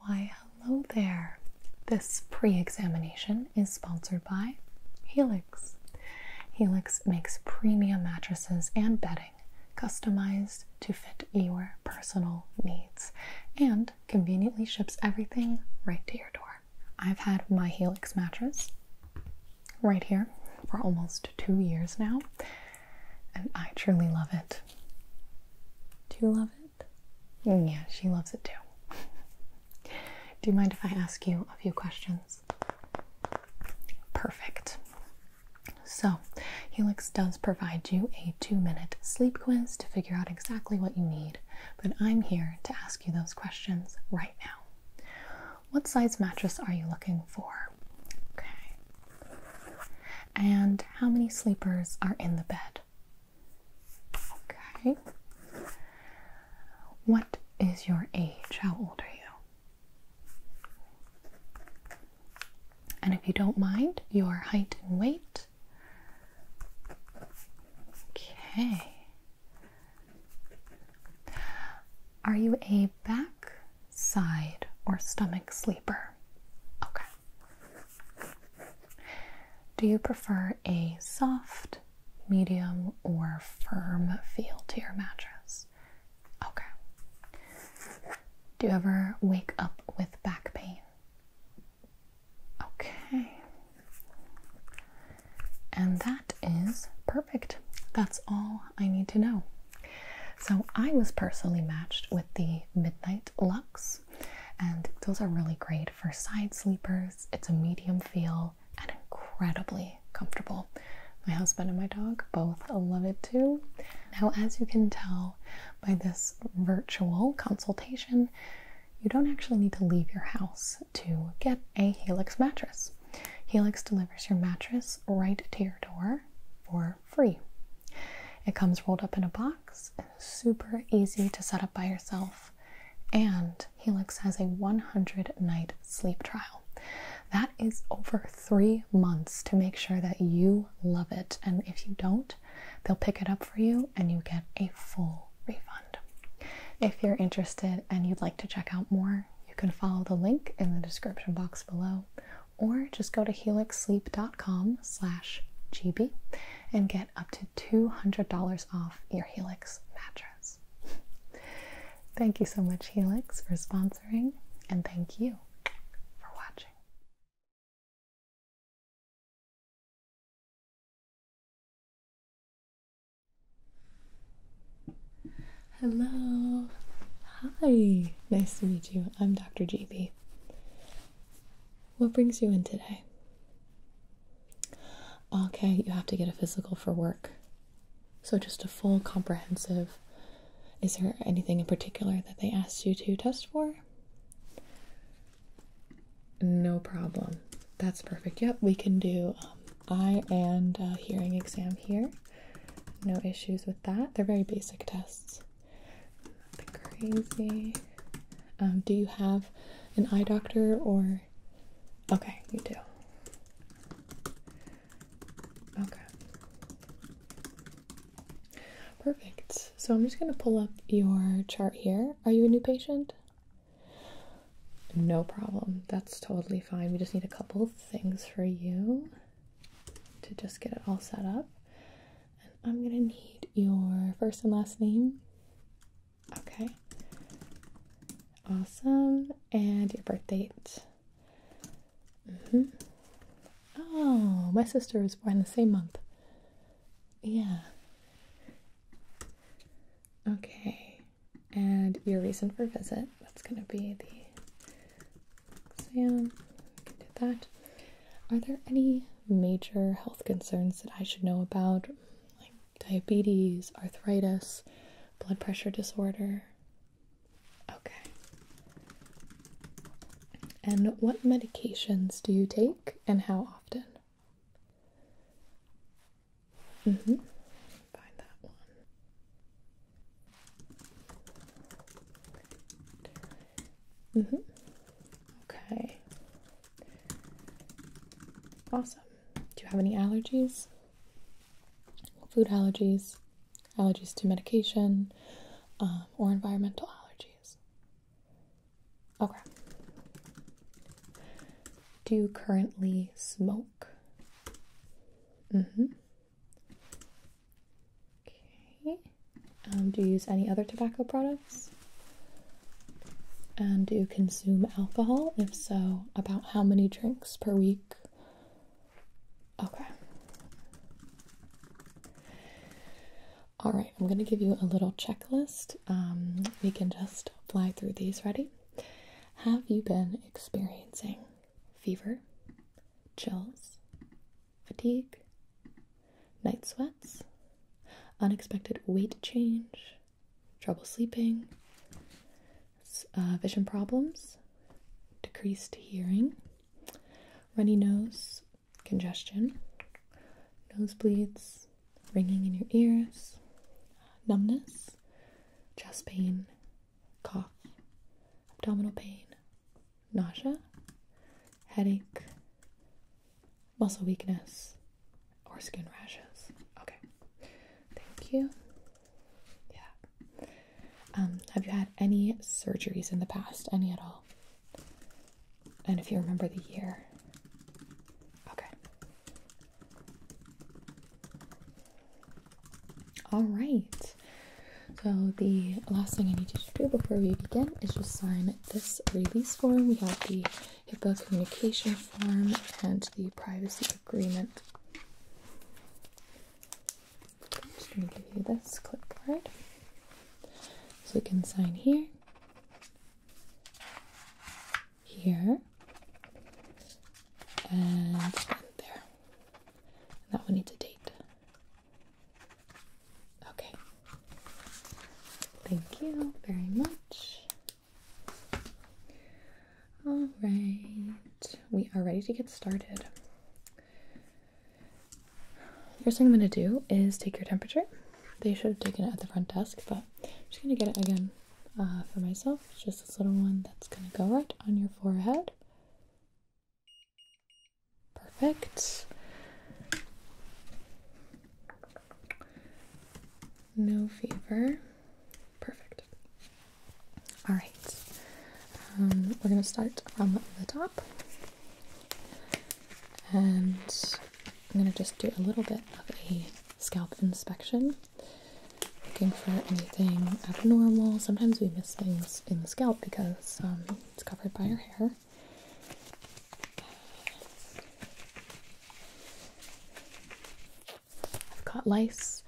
Why, hello there. This pre examination is sponsored by Helix. Helix makes premium mattresses and bedding customized to fit your personal needs and conveniently ships everything right to your door. I've had my Helix mattress right here for almost two years now, and I truly love it. Do you love it? Mm, yeah, she loves it too. Do you mind if I ask you a few questions? Perfect. So, Helix does provide you a two minute sleep quiz to figure out exactly what you need, but I'm here to ask you those questions right now. What size mattress are you looking for? Okay. And how many sleepers are in the bed? Okay. What is your age? How old are you? And if you don't mind, your height and weight. Okay. Are you a back, side, or stomach sleeper? Okay. Do you prefer a soft, medium, or firm feel to your mattress? Okay. Do you ever wake up with back pain? Okay. And that is perfect. That's all I need to know. So I was personally matched with the Midnight Lux. And those are really great for side sleepers. It's a medium feel and incredibly comfortable. My husband and my dog both love it too. Now, as you can tell by this virtual consultation, you don't actually need to leave your house to get a Helix mattress. Helix delivers your mattress right to your door for free. It comes rolled up in a box, super easy to set up by yourself, and Helix has a 100 night sleep trial. That is over three months to make sure that you love it. And if you don't, they'll pick it up for you and you get a full refund. If you're interested and you'd like to check out more, you can follow the link in the description box below or just go to helixsleep.com slash gb and get up to $200 off your Helix mattress. thank you so much, Helix, for sponsoring, and thank you for watching. Hello. Hi. Nice to meet you. I'm Dr. GB what brings you in today? Okay, you have to get a physical for work. So, just a full comprehensive. Is there anything in particular that they asked you to test for? No problem. That's perfect. Yep, we can do um, eye and uh, hearing exam here. No issues with that. They're very basic tests crazy. Um, do you have an eye doctor or? Okay, you do. Okay. Perfect. So I'm just going to pull up your chart here. Are you a new patient? No problem. That's totally fine. We just need a couple things for you to just get it all set up. And I'm gonna need your first and last name. Okay. Awesome. And your birth date. Mm-hmm. Oh, my sister was born the same month. Yeah. Okay. And your reason for visit. That's gonna be the exam. You that. Are there any major health concerns that I should know about, like diabetes, arthritis, blood pressure disorder? Okay. And what medications do you take and how often? Mm hmm. Find that one. Mm-hmm. Okay. Awesome. Do you have any allergies? Food allergies, allergies to medication, um, or environmental allergies? Okay. Do you currently smoke? Mm-hmm. Okay. Um, do you use any other tobacco products? And do you consume alcohol? If so, about how many drinks per week? Okay. All right, I'm going to give you a little checklist. Um, we can just fly through these. Ready? Have you been experiencing fever, chills, fatigue, night sweats, unexpected weight change, trouble sleeping, uh, vision problems, decreased hearing, runny nose, congestion, nosebleeds, ringing in your ears, numbness, chest pain, cough, abdominal pain, nausea, headache, muscle weakness, or skin rashes. Okay, thank you. Yeah. Um, have you had any surgeries in the past? Any at all? And if you remember the year. Okay. All right. So the last thing I need you to do before we begin is just sign this release form, we have the HIPAA communication form and the privacy agreement. just going to give you this clipboard. So we can sign here, here, and there. that one needs a date. Okay. Thank you very much. All right. We are ready to get started. First thing I'm going to do is take your temperature. They should have taken it at the front desk, but I'm just going to get it again uh, for myself. It's just this little one that's going to go right on your forehead. Perfect. No fever. Perfect. All right. Um, we're going to start from the top. And I'm going to just do a little bit of a scalp inspection, looking for anything abnormal. Sometimes we miss things in the scalp because um, it's covered by our hair. I've caught lice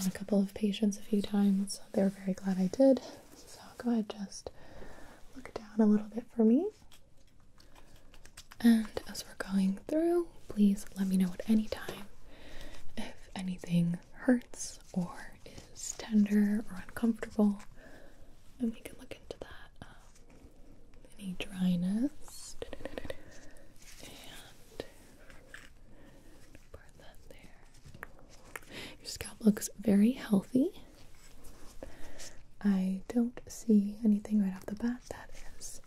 on a couple of patients a few times. They were very glad I did. So go ahead, just look down a little bit for me. And as we're going through, please let me know at any time if anything hurts or is tender or uncomfortable, and we can look um, any dryness. And part that there. Your scalp looks very healthy. I don't see anything right off the bat that is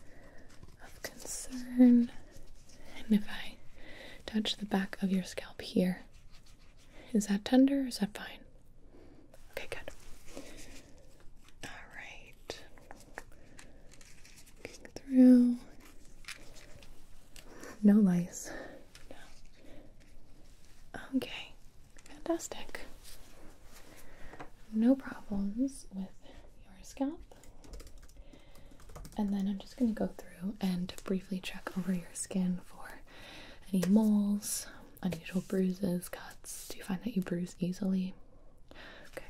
of concern. And if I touch the back of your scalp here, is that tender is that fine? Okay, good. Alright. through. No lice. No. Okay. Fantastic. No problems with your scalp. And then I'm just going to go through and briefly check over your skin for any moles unusual bruises, cuts? Do you find that you bruise easily? Okay,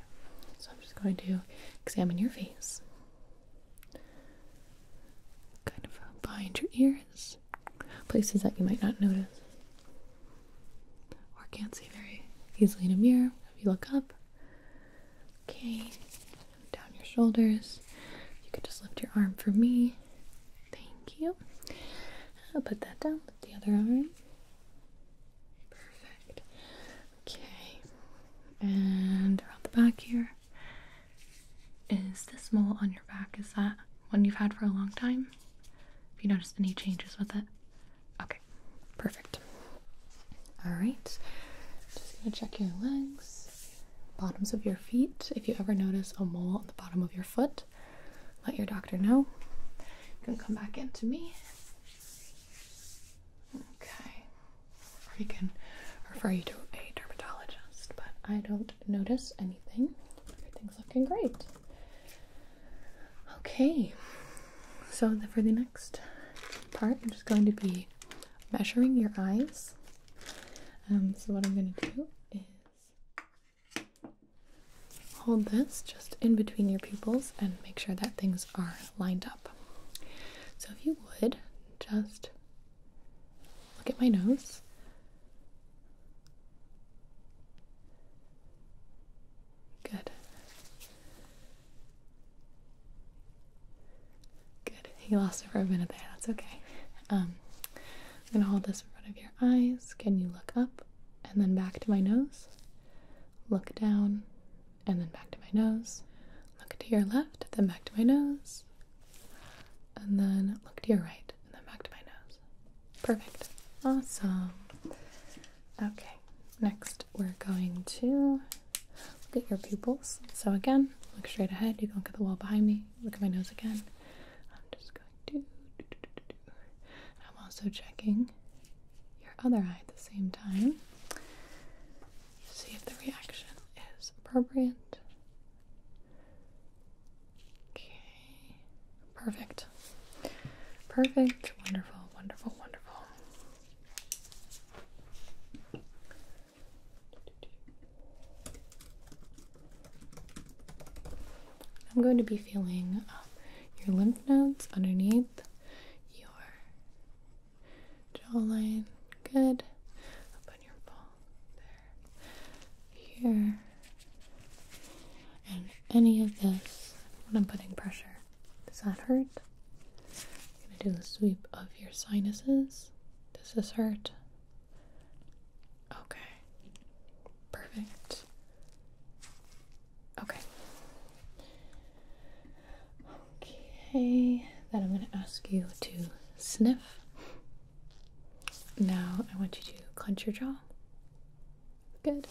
so I'm just going to examine your face. Kind of uh, behind your ears, places that you might not notice or can't see very easily in a mirror if you look up. Okay, down your shoulders. You could just lift your arm for me. Thank you. I'll put that down with the other eye. Perfect. Okay. And around the back here. Is this mole on your back? Is that one you've had for a long time? Have you noticed any changes with it? Okay, perfect. Alright. Just gonna check your legs, bottoms of your feet. If you ever notice a mole on the bottom of your foot, let your doctor know. You can come back in to me. Okay. Or you can refer you to a dermatologist, but I don't notice anything. Everything's looking great. Okay. So for the next part, I'm just going to be measuring your eyes. Um, so what I'm going to do is Hold this just in between your pupils and make sure that things are lined up. So, if you would just look at my nose. Good. Good. He lost it for a minute there. That's okay. Um, I'm going to hold this in front of your eyes. Can you look up and then back to my nose? Look down and then back to my nose. Look to your left, then back to my nose. And then look to your right and then back to my nose. Perfect. Awesome. Okay, next we're going to look at your pupils. So, again, look straight ahead. You can look at the wall behind me. Look at my nose again. I'm just going I'm also checking your other eye at the same time. See if the reaction is appropriate. Okay. Perfect. Perfect. Wonderful, wonderful, wonderful. I'm going to be feeling uh, your lymph nodes underneath your jawline. Good. Up on your ball. There. Here. And any of this when I'm putting pressure. Does that hurt? I'm going to do the sweep of your sinuses. Does this hurt? Okay. Perfect. Okay. Okay, then I'm going to ask you to sniff. Now I want you to clench your jaw. Good.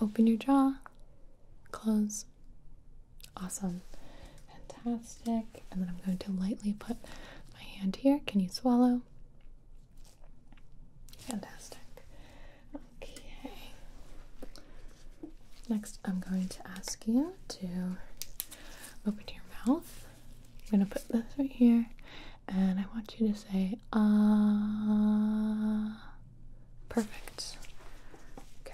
Open your jaw. Close. Awesome. Fantastic. And then I'm going to lightly put my hand here. Can you swallow? Fantastic. Okay. Next, I'm going to ask you to open your mouth. I'm going to put this right here, and I want you to say, ah. perfect. Okay.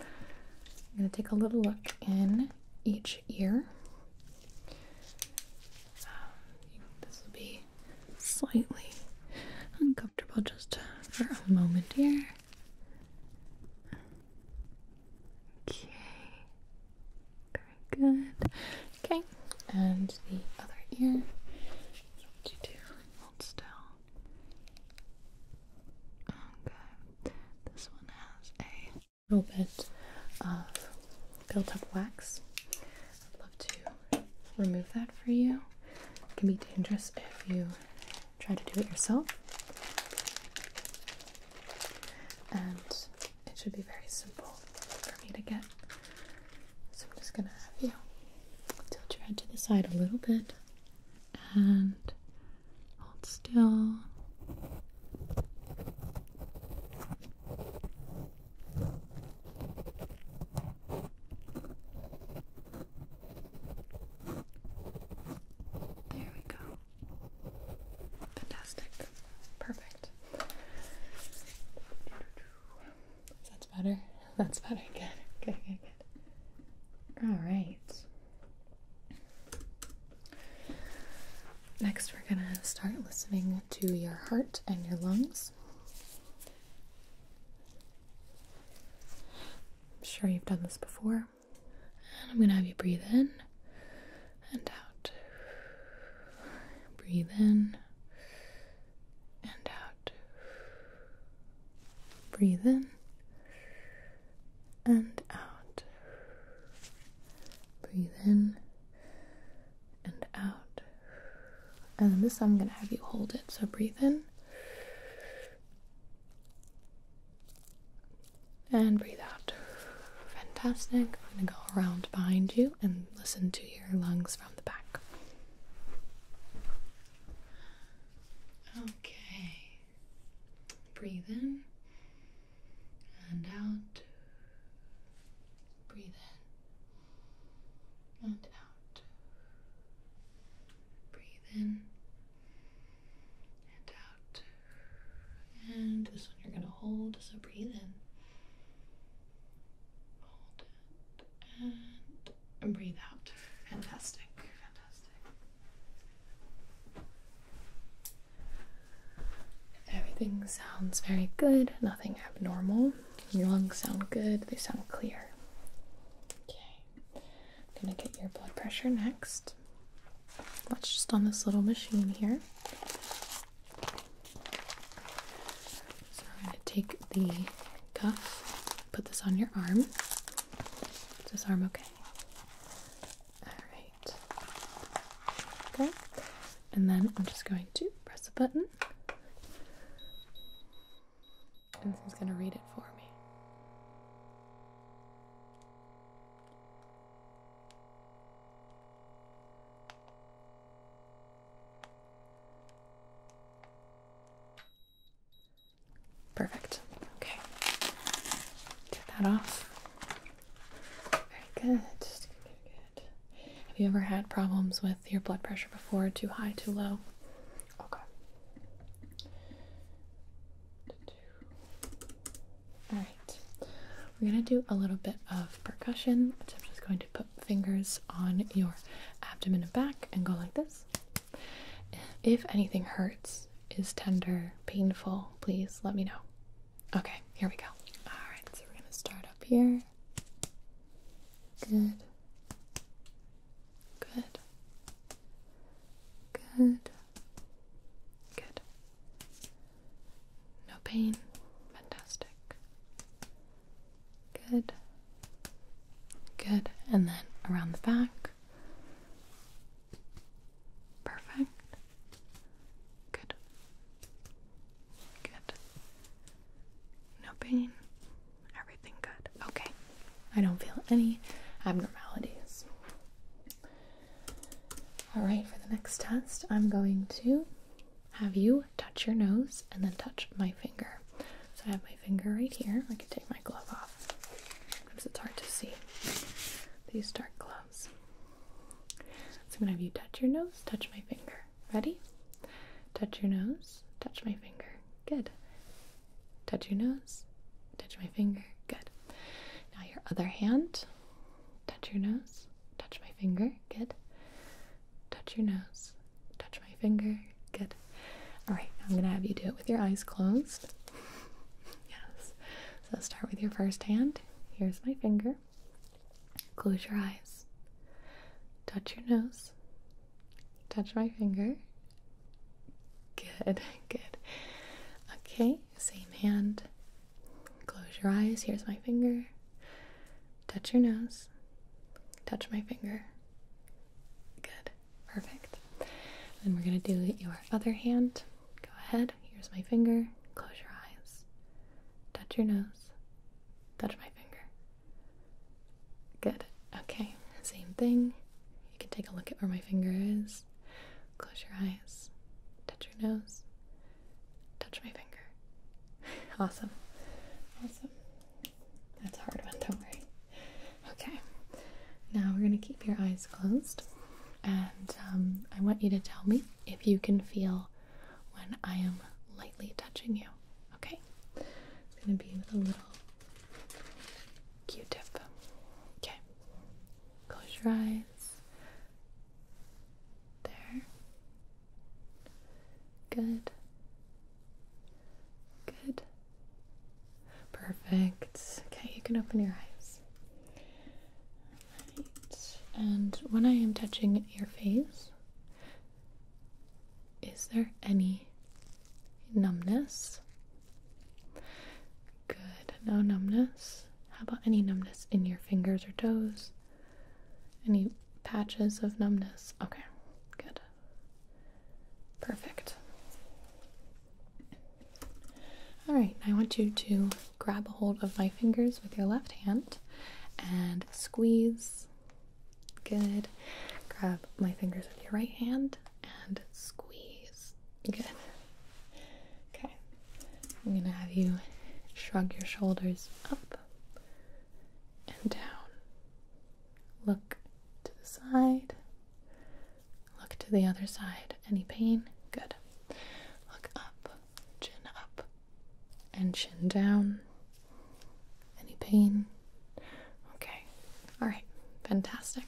I'm going to take a little look in each ear. Um, this will be slightly uncomfortable just for a moment here. Okay, very good. Okay, and the other ear. hold still. Okay, this one has a little bit of built up wax. I'd love to remove that for you. It can be dangerous if you try to do it yourself. And it should be very simple for me to get. So I'm just gonna have you tilt your head to the side a little bit and Hold still. There we go. Fantastic. Perfect. That's better. That's better. Good. Good. Good. Good. All right. Next, we're going to start listening to your heart and your lungs. I'm sure you've done this before. And I'm going to have you breathe in and out. Breathe in and out. Breathe in and out. Breathe in and out. And then this, I'm going to have you hold it. So breathe in and breathe out. Fantastic. I'm going to go around behind you and listen to your lungs from the back. Okay. Breathe in and out. Breathe in and out. Breathe in and out. And this one you're going to hold, so breathe in. Hold it and breathe out. Fantastic. Everything sounds very good, nothing abnormal. Your lungs sound good, they sound clear. Okay, I'm gonna get your blood pressure next. That's just on this little machine here. So I'm gonna take the cuff, put this on your arm. Is this arm okay? Alright. Okay. And then I'm just going to press a button. And this is going to read it for me. Perfect. Okay. Take that off. Very good. Have you ever had problems with your blood pressure before? Too high, too low? Okay. All right. We're going to do a little bit of percussion. So I'm just going to put fingers on your abdomen and back and go like this. If anything hurts, this is tender, painful, please let me know. Okay, here we go. Alright, so we're gonna start up here. Good. Good. Good. Good. No pain. Fantastic. Good. Good. And then around the back. Perfect. Good. Good. No pain. Everything good. Okay. I don't feel any abnormalities. Alright, for the next test, I'm going to have you touch your nose and then touch my finger. So I have my finger right here. I can take my glove off because it's hard to see these dark gloves. So I'm gonna have you touch your nose, touch my finger. Ready? Touch your nose, touch my finger. Good. Touch your nose, touch my finger. Good. Now your other hand, touch your nose, touch my finger. Good. Touch your nose, touch my finger. Good. All right, I'm gonna have you do it with your eyes closed. Yes. So start with your first hand. Here's my finger. Close your eyes. Touch your nose. Touch my finger. Good, good. Okay, same hand. Close your eyes. Here's my finger. Touch your nose. Touch my finger. Good. Perfect. Then we're going to do your other hand. Go ahead. Here's my finger. Close your eyes. Touch your nose. Touch my finger. Good. Okay. Same thing. You can take a look at where my finger is. Close your eyes. Touch your nose. Touch my finger. Awesome. Awesome. That's a hard one, don't worry. Okay, now we're going to keep your eyes closed, and um, I want you to tell me if you can feel when I am lightly touching you. Okay, it's going to be with a little Q-tip. Okay, close your eyes. There. Good. Good. Perfect. Okay, you can open your eyes. And when I am touching your face, is there any numbness? Good. No numbness. How about any numbness in your fingers or toes? Any patches of numbness? Okay. Good. Perfect. All right, I want you to grab a hold of my fingers with your left hand and squeeze. Good. Grab my fingers with your right hand and squeeze. Good. Okay. I'm going to have you shrug your shoulders up and down. Look to the side Look to the other side. Any pain? Good. Look up, chin up, and chin down. Any pain? Okay. All right. Fantastic.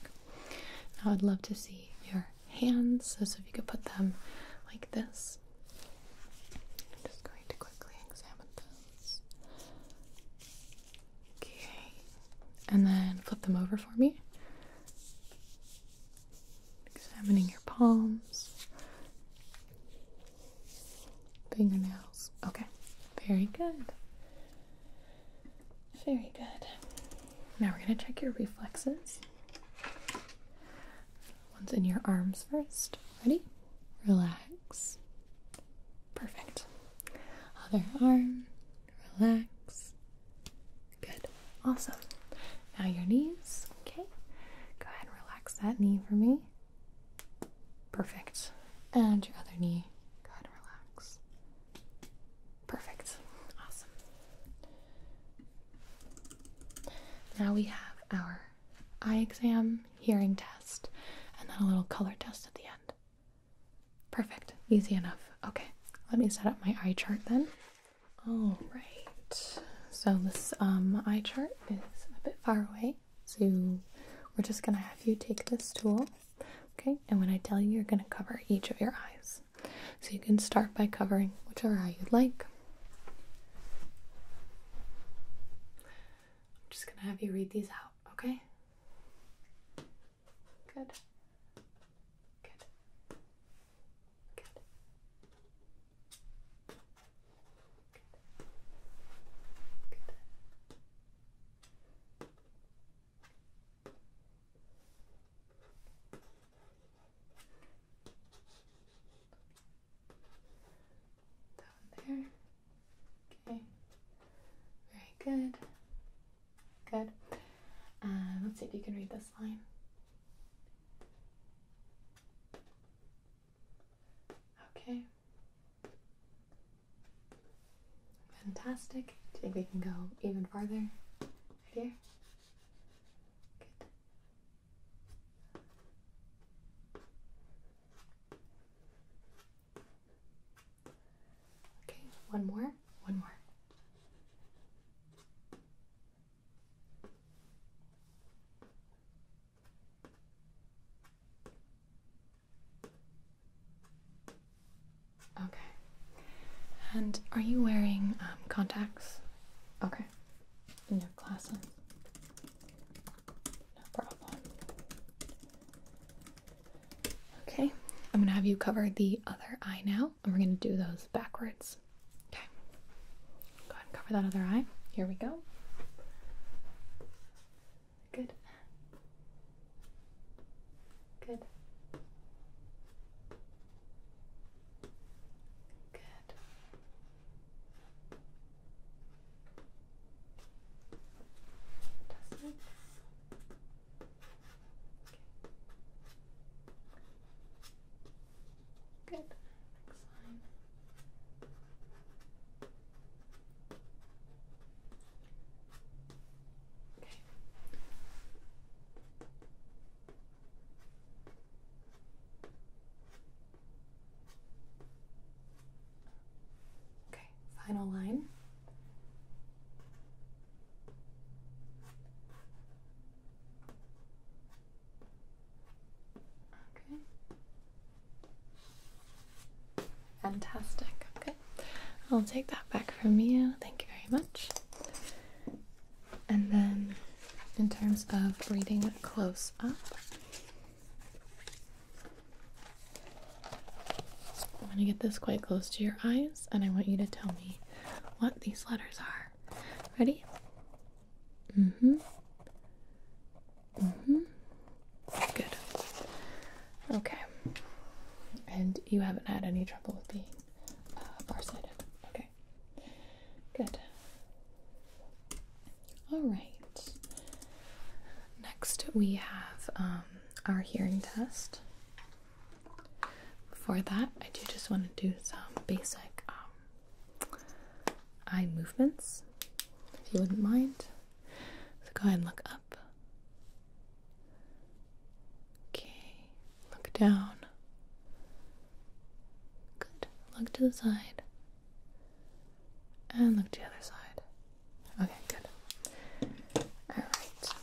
Now I'd love to see your hands. So, if you could put them like this. I'm just going to quickly examine those. Okay. And then flip them over for me. Examining your palms, fingernails. Okay, very good. Very good. Now we're going to check your reflexes. One's in your arms first. Ready? Relax. Perfect. Other arm relax. Good, awesome. Now your knees, okay? Go ahead and relax that knee for me. Perfect. And your other knee, go ahead and relax. Perfect, awesome. Now we have our eye exam, hearing test, and then a little color test at the end. Perfect. Easy enough. Okay, let me set up my eye chart then. All right. So this um, eye chart is a bit far away, so we're just gonna have you take this tool, okay? And when I tell you, you're gonna cover each of your eyes. So you can start by covering whichever eye you'd like. I'm just gonna have you read these out, okay? Good. Good. Good. Good. Good. Down there. Okay. Very good. Good. Uh, let's see if you can read this line. Okay. Fantastic. Do you think we can go even farther? Right here? Good. Okay, one more. One more. Okay. And are you wearing um, contacts? Okay. In your glasses? No problem. Okay, I'm gonna have you cover the other eye now, and we're gonna do those backwards. Okay, go ahead and cover that other eye. Here we go. Good. Good. Good. Good. Next line. Okay. Okay, final line. Okay. Fantastic. Okay. I'll take that back from you. Thank you very much. And then, in terms of reading close up, I'm going to get this quite close to your eyes, and I want you to tell me what these letters are. Ready? Mm-hmm. Mm-hmm. Good. Okay. And you haven't had any trouble with being uh, farsighted. Okay. Good. All right. Next, we have um, our hearing test. Before that, I do just want to do some basic um, eye movements, if you wouldn't mind. So go ahead and look up. Okay, look down. Good. Look to the side. And look to the other side. Okay, good. Alright.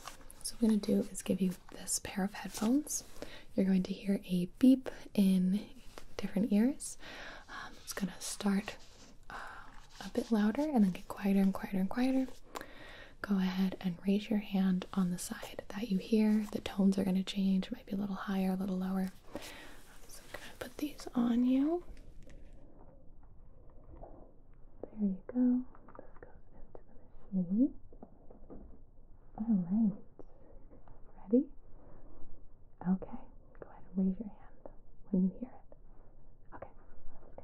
So, what I'm going to do is give you this pair of headphones. You're going to hear a beep in different ears. Um, it's going to start uh, a bit louder and then get quieter and quieter and quieter. Go ahead and raise your hand on the side that you hear. The tones are going to change, it might be a little higher, a little lower. So, I'm going to put these on you. There you go. This goes into the machine. Alright. Ready? Okay. Go ahead and raise your hand when you hear it. Okay, let's go.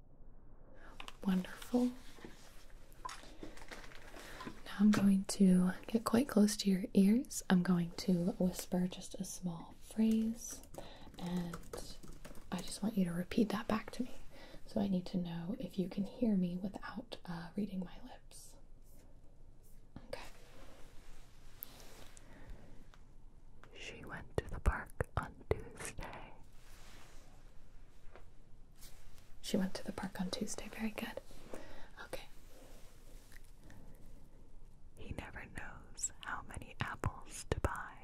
Wonderful. Now I'm going to get quite close to your ears. I'm going to whisper just a small phrase and I just want you to repeat that back to me. So I need to know if you can hear me without uh, reading my lips. Okay. She went to the park on Tuesday. She went to the park on Tuesday. Very good. Okay. He never knows how many apples to buy.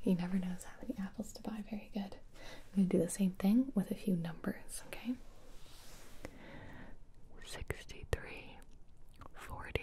He never knows how many apples to buy. Very good. I'm going to do the same thing with a few numbers, okay? 63, 40,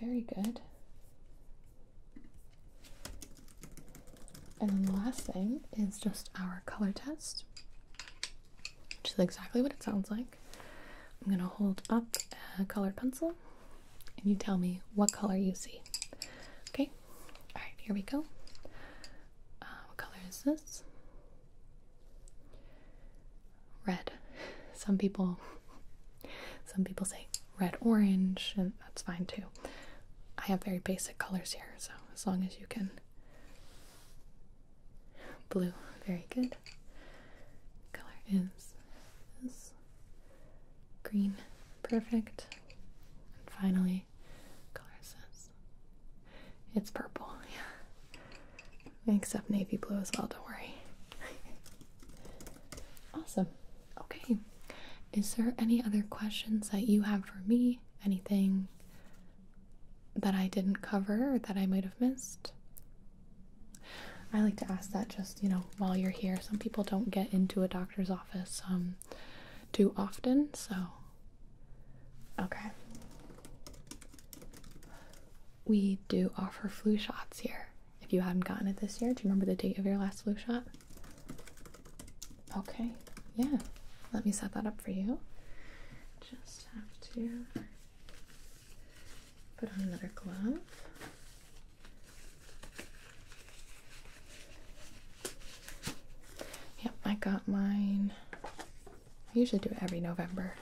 very good. And then the last thing is just our color test, which is exactly what it sounds like. I'm going to hold up a colored pencil and you tell me what color you see. Okay, all right, here we go. Uh, what color is this? Red. Some people some people say red orange, and that's fine too. I have very basic colors here, so as long as you can. Blue, very good. Color is green, perfect. And finally, color is It's purple, yeah. Except navy blue as well, don't worry. awesome. Okay. Is there any other questions that you have for me? Anything that I didn't cover that I might have missed? I like to ask that just, you know, while you're here. Some people don't get into a doctor's office um too often, so okay. We do offer flu shots here. If you have not gotten it this year, do you remember the date of your last flu shot? Okay, yeah. Let me set that up for you. Just have to put on another glove. Yep, I got mine. I usually do it every November.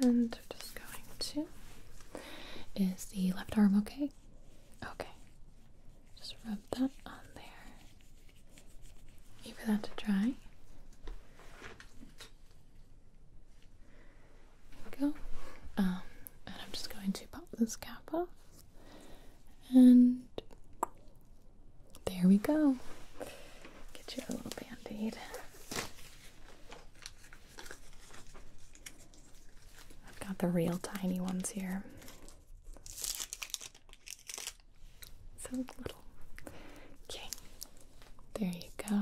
And we're just going to. Is the left arm okay? Okay. Just rub that on there. Wait that to dry. There we go. Um, and I'm just going to pop this cap off and there we go. Get you a little band aid. I've got the real tiny ones here. So little. Okay. There you go.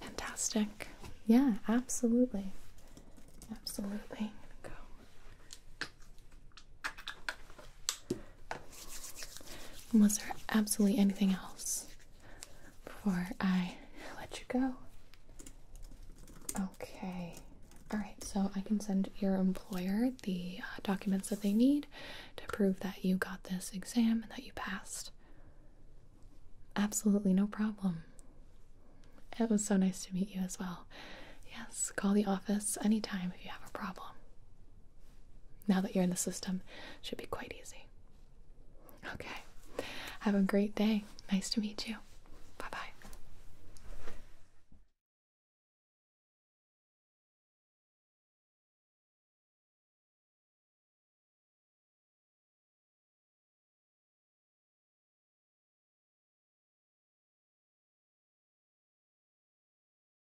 Fantastic. Yeah, absolutely. Absolutely. go and was there absolutely anything else before I let you go? Okay. All right. So I can send your employer the uh, documents that they need to prove that you got this exam and that you passed. Absolutely no problem. It was so nice to meet you as well. Yes, call the office anytime if you have a problem now that you're in the system, should be quite easy. Okay. Have a great day. Nice to meet you. Bye bye.